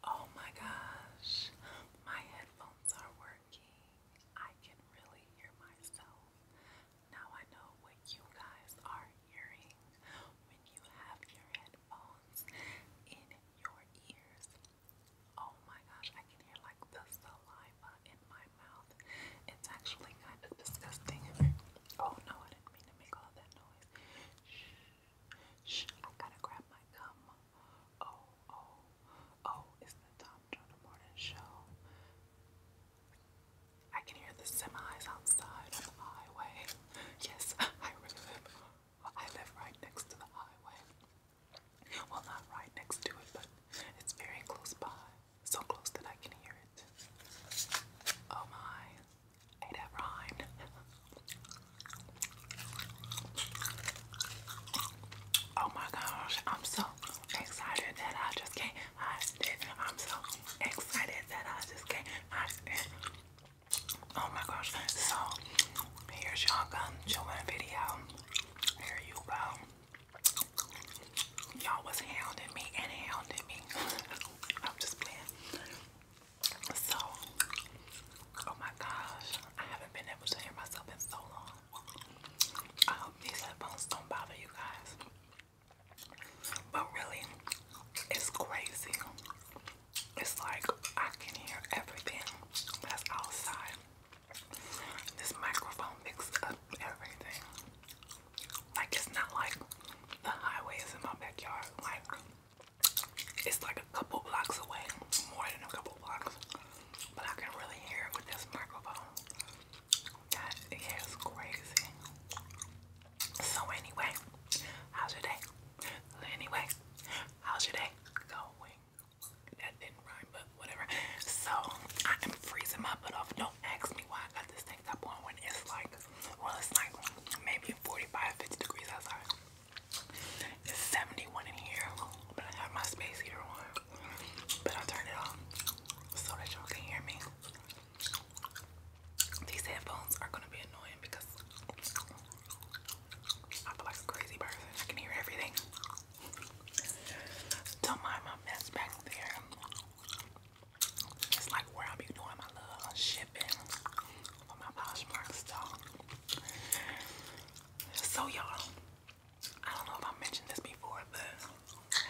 Oh my gosh, my headphones are working. I can really hear myself. Now I know what you guys are hearing when you have your headphones in your ears. Oh my gosh, I can hear like the saliva in my mouth. It's actually kind of disgusting. Oh no, I didn't mean to make all that noise. Shh. Shh, I gotta grab my gum. Oh, oh, oh, it's the Tom Turner Morning Show. I can hear the semis outside on the highway. Yes, I really live. I live right next to the highway. Well, not right next to it, but it's very close by. So close that I can hear it. Oh my. Hey, that rhymed. oh my gosh, I'm so excited that I just can't hide it. I'm so excited that I just can't hide it. Oh my gosh, so here's y'all gun chillin' video. Here you go. Y'all was hounding me and hounding me. I'm just playing. So, oh my gosh, I haven't been able to hear myself in so long. hope these headphones don't bother you guys. But really, it's crazy. It's like I can hear everything that's outside. This microphone picks up everything. Like it's not like the highway is in my backyard. Like it's like a couple blocks away, more than a couple blocks, but I can really hear it with this microphone. That is crazy. So anyway, how's your day? Anyway, how's your day going? That didn't rhyme, but whatever. So I am freezing my butt off. Don't ask me why I got this thing up on when it's like, well, it's like maybe 45, 50 degrees outside. It's 71 in here, but I have my space heater on. But i turn it off so that y'all can hear me. These headphones are gonna be annoying because I feel like a crazy person. I can hear everything. Don't mind my mess back there. It's like where I be doing my little shipping. So y'all, I don't know if I mentioned this before, but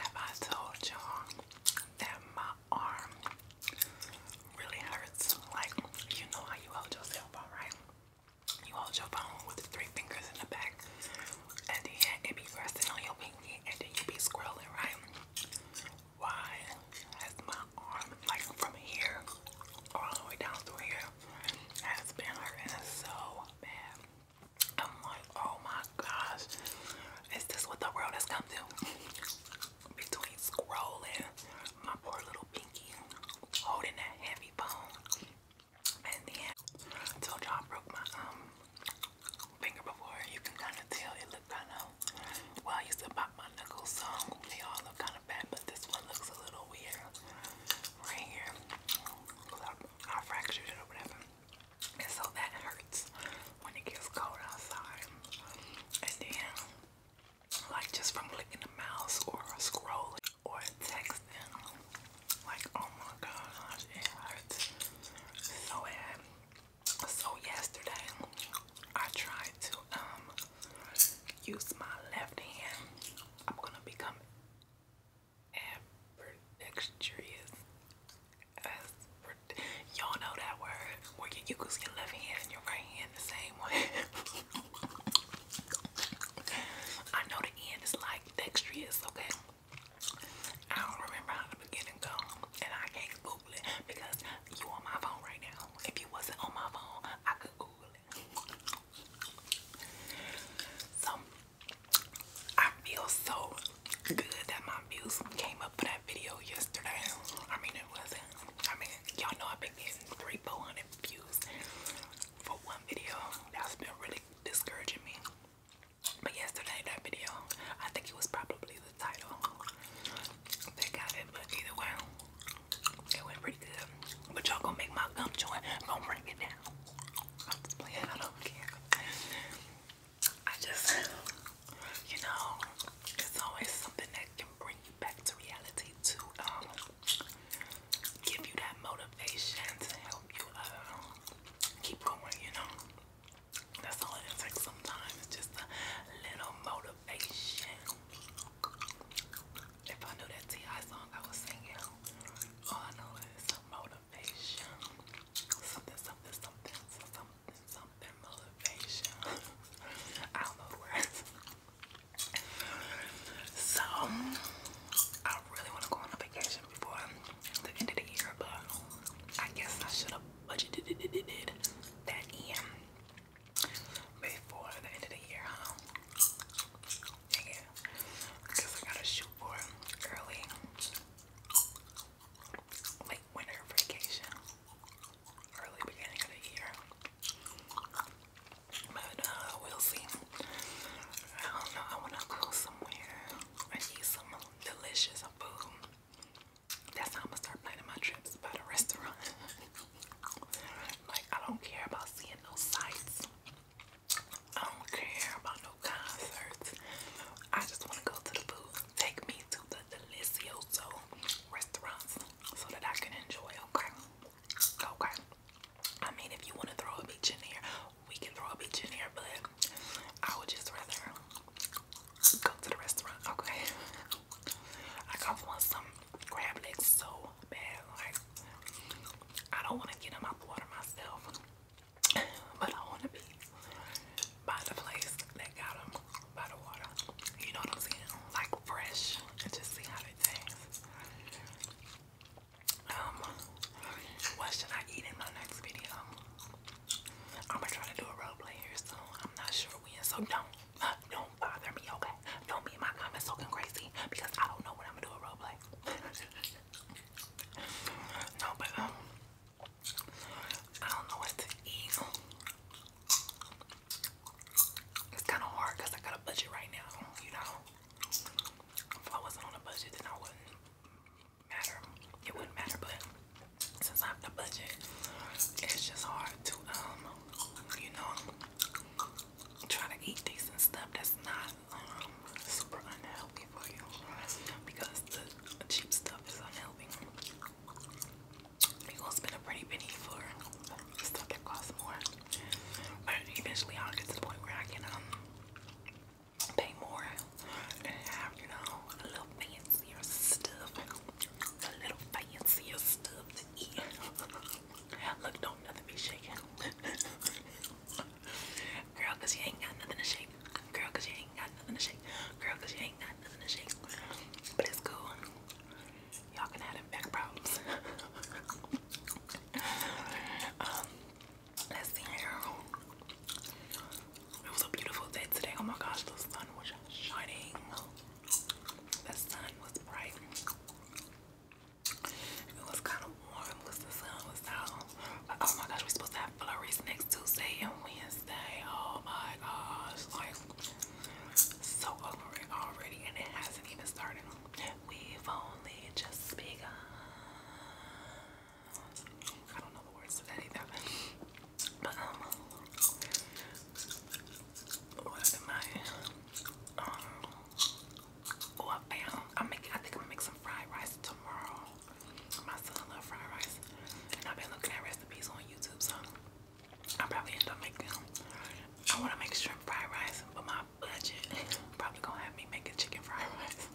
have I told y'all that my arm really hurts? Like, you know how you hold your phone, right? You hold your phone with three fingers in the back, and then it be resting on your pinky, and then you be scrolling, right? why has my arm, like from here, all the way down through here, has been hurting so bad. I'm like, oh my gosh, is this what the world has come to? Between scrolling, my poor little pinky, holding that heavy bone, and then, till y'all broke my um finger before, you can kind of tell it looked kind of well, I used to pop my knuckles, so they all look kind of bad, but this one looks a little weird right here. I fractured it or whatever. And so that hurts when it gets cold outside. And then, like just from clicking the mouse or scrolling or texting, like oh my gosh, it hurts so bad. So yesterday, I try to um, use my left hand. I'm gonna become ambidextrous. Y'all know that word where you use your left hand and your right hand the same way. I know the end is like dexterous, okay? I don't remember how the beginning goes, and I can't because you on my phone right now. If you wasn't on my phone, I could Google it. So I feel so good that my views came up for that video yesterday. I mean it wasn't. I mean y'all know I've been getting three, four hundred views for one video. That's been really discouraging me. But yesterday that video, I think it was probably the title that got it, but either way, it went pretty good. But y'all gonna make my gum joint. I'm gonna bring it down. i just you know, it's always something that can bring you back to reality to um, give you that motivation to help you uh, keep going, you know. That's all it takes sometimes. It's just a little motivation motivation. If I knew that T.I. song I was singing, all I know is motivation. Something, something, something, something, something, motivation. I don't know the words. So, I really want to go on a vacation before the end of the year, but I guess I should have budgeted that in before the end of the year, huh? Yeah, because I gotta shoot for early, late winter vacation, early beginning of the year. But uh, we'll see. I don't know. I wanna go somewhere. I need some delicious food. That's how I'm gonna start planning my trips by the restaurant. like I don't care about seeing no sights. I don't care about no concerts. I just wanna go to the booth. Take me to the delicioso restaurants so that I can enjoy, okay? Okay. I mean if you wanna throw a beach in here, we can throw a beach in here, but I would just rather go to the restaurant, okay? Like I want some crab legs so bad, like I don't want to get them out the water myself, but I want to be by the place that got them by the water. You know what I'm saying? Like fresh, and just see how it tastes. Um, what should I eat in my next video? I'm gonna try to do a role play here I'm not sure when, so don't don't bother me, okay? Don't be in my comments talking crazy because I don't know what I'm gonna do at roleplay. no, but um, I don't know what to It's kind of hard I got a budget right now, you know? If I wasn't on a budget, then I wouldn't matter. It wouldn't matter, but since I have the budget, it's just hard to um you know, try to eat things and stuff that's not um, super unhealthy for you because the cheap stuff is unhealthy. You're gonna spend a pretty penny for stuff that costs more. But eventually I'll get to the point where I can um pay more and have, you know, a little fancier stuff just a little fancier stuff to eat. Look, don't nothing be shaking. Girl, you ain't got nothing to shake. Girl, you ain't got nothing to shake. Girl, you ain't got nothing to shake. But it's cool. Y'all can have back problems. um, let's see here. It was a beautiful day today. Oh my gosh, the sun was shining. The sun was bright. It was kind of warm because the sun was out. oh my gosh, we supposed to have flurries next Tuesday and Wednesday. Oh my gosh. Like, so over it already, and it hasn't even started. We've only just begun. I don't know the words to that but um, what am I? Um, oh, I found. I make. I think I'm gonna make some fried rice tomorrow. My son loves fried rice, and I've been looking at recipes on YouTube, so I probably end up making. I want to make shrimp fried rice, but my budget probably gonna have me making chicken fried rice.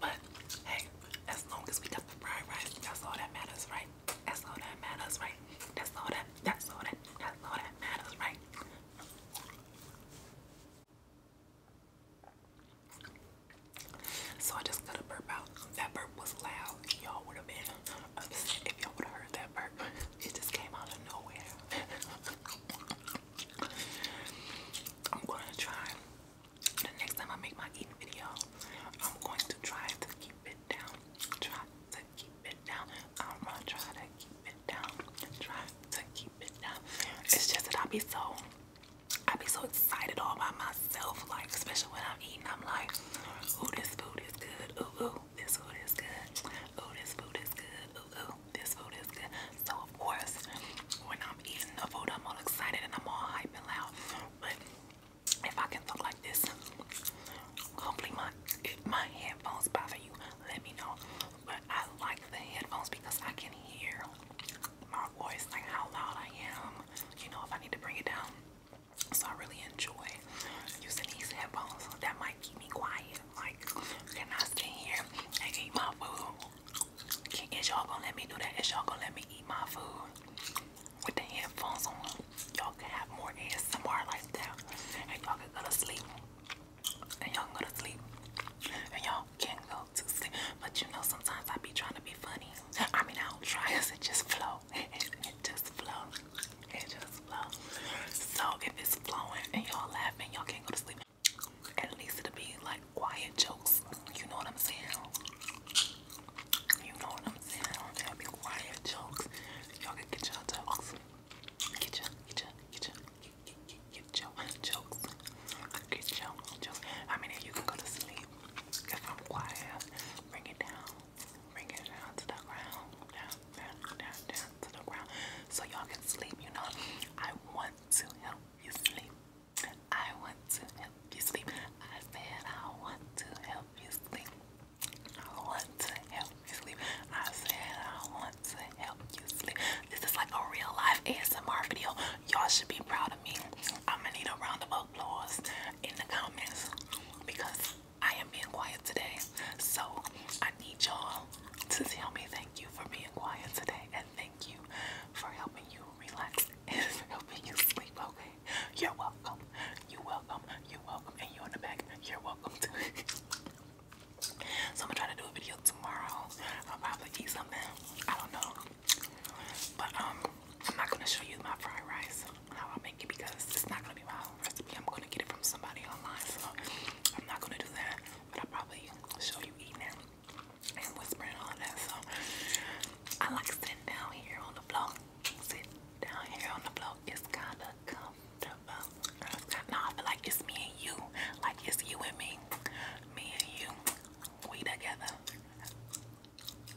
but hey, as long as we got the fried rice, that's all that matters, right? That's all that matters, right? That's all that that's all that that's all that matters, right? So I just got a burp out. That burp was loud. Y'all would have been upset if y'all would have heard that burp. It just came out of nowhere. I'm gonna try the next time I make my eating video, I'm going to try to keep it Try to keep it down. I'm gonna try to keep it down. Try to keep it down. It's just that I be so, I be so excited all by myself. Like especially when I'm eating, I'm like, ooh, this food is good. Ooh, ooh, this food is good. Ooh, this food is good. Ooh, ooh, this food is good. So of course, when I'm eating the food, I'm all excited and I'm all hype loud. But if I can talk like this, hopefully my my headphones bother you, let me know. But I like the headphones because I can hear my voice, like how loud I am. You know, if I need to bring it down. So I really enjoy using these headphones. That might keep me quiet. Like, can I stay here and eat my food? is y'all gonna let me do that? Is y'all gonna let me eat my food with the headphones on? y'all can have more ASMR like that and y'all can go to sleep and y'all go to sleep and y'all can go to sleep but you know sometimes I be trying to be funny I mean I don't try it just flow it, just flow it just flow so if it's flowing and y'all laughing y'all can't go to sleep at least it'll be like quiet jokes you know what I'm saying you know what I'm saying? don't tell you quiet jokes. Y'all can get your jokes. Get your, get your, get your, get, get, get your jokes. Get your jokes. I mean, you can go to sleep. If I'm quiet, bring it down. Bring it down to the ground. Down, down, down, down to the ground. So y'all can sleep, you know? I want to help you sleep. I want to help you sleep. I said I want to help you sleep. I want to help you sleep. I said I want to help you sleep. This is like a real life ASMR video. Y'all should be proud of me. I'm gonna need a round of applause in the comments because I am being quiet today. So I need y'all to tell me thank you for being quiet today and thank you for helping you relax and helping you sleep, okay? You're welcome. You're welcome. You're welcome. And you on the back, you're welcome too. so I'm gonna try to do a video tomorrow. I'll probably eat something. I don't know. But um I'm not gonna show you my fried rice how I make it because it's not gonna be my recipe. I'm gonna get it from somebody online, so I'm not gonna do that. But I'll probably show you eating and whispering all that. So I like sitting down here on the floor sit down here on the floor. It's kind of comfortable. no, I feel like it's me and you. Like it's you and me. Me and you. We together.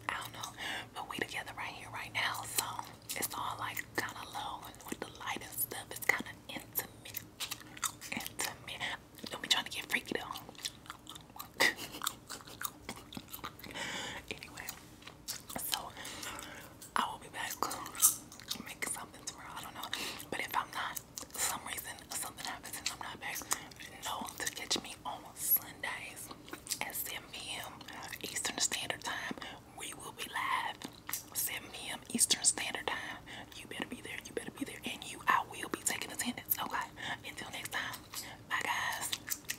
I don't know. But we together right here, right now. So it's all like kind of low and with the light and stuff. It's kind of intimate. Intimate. Don't be to get freaky though. anyway, so I will be back making something tomorrow. I don't know. But if I'm not, some reason something happens and I'm not back, no to catch me on Sundays 7 p.m. Eastern Standard Time. We will be live 7 p.m. Eastern Standard Time. You better be there. You better be there. And you, I will be taking attendance. Okay. Until next time. Bye, guys.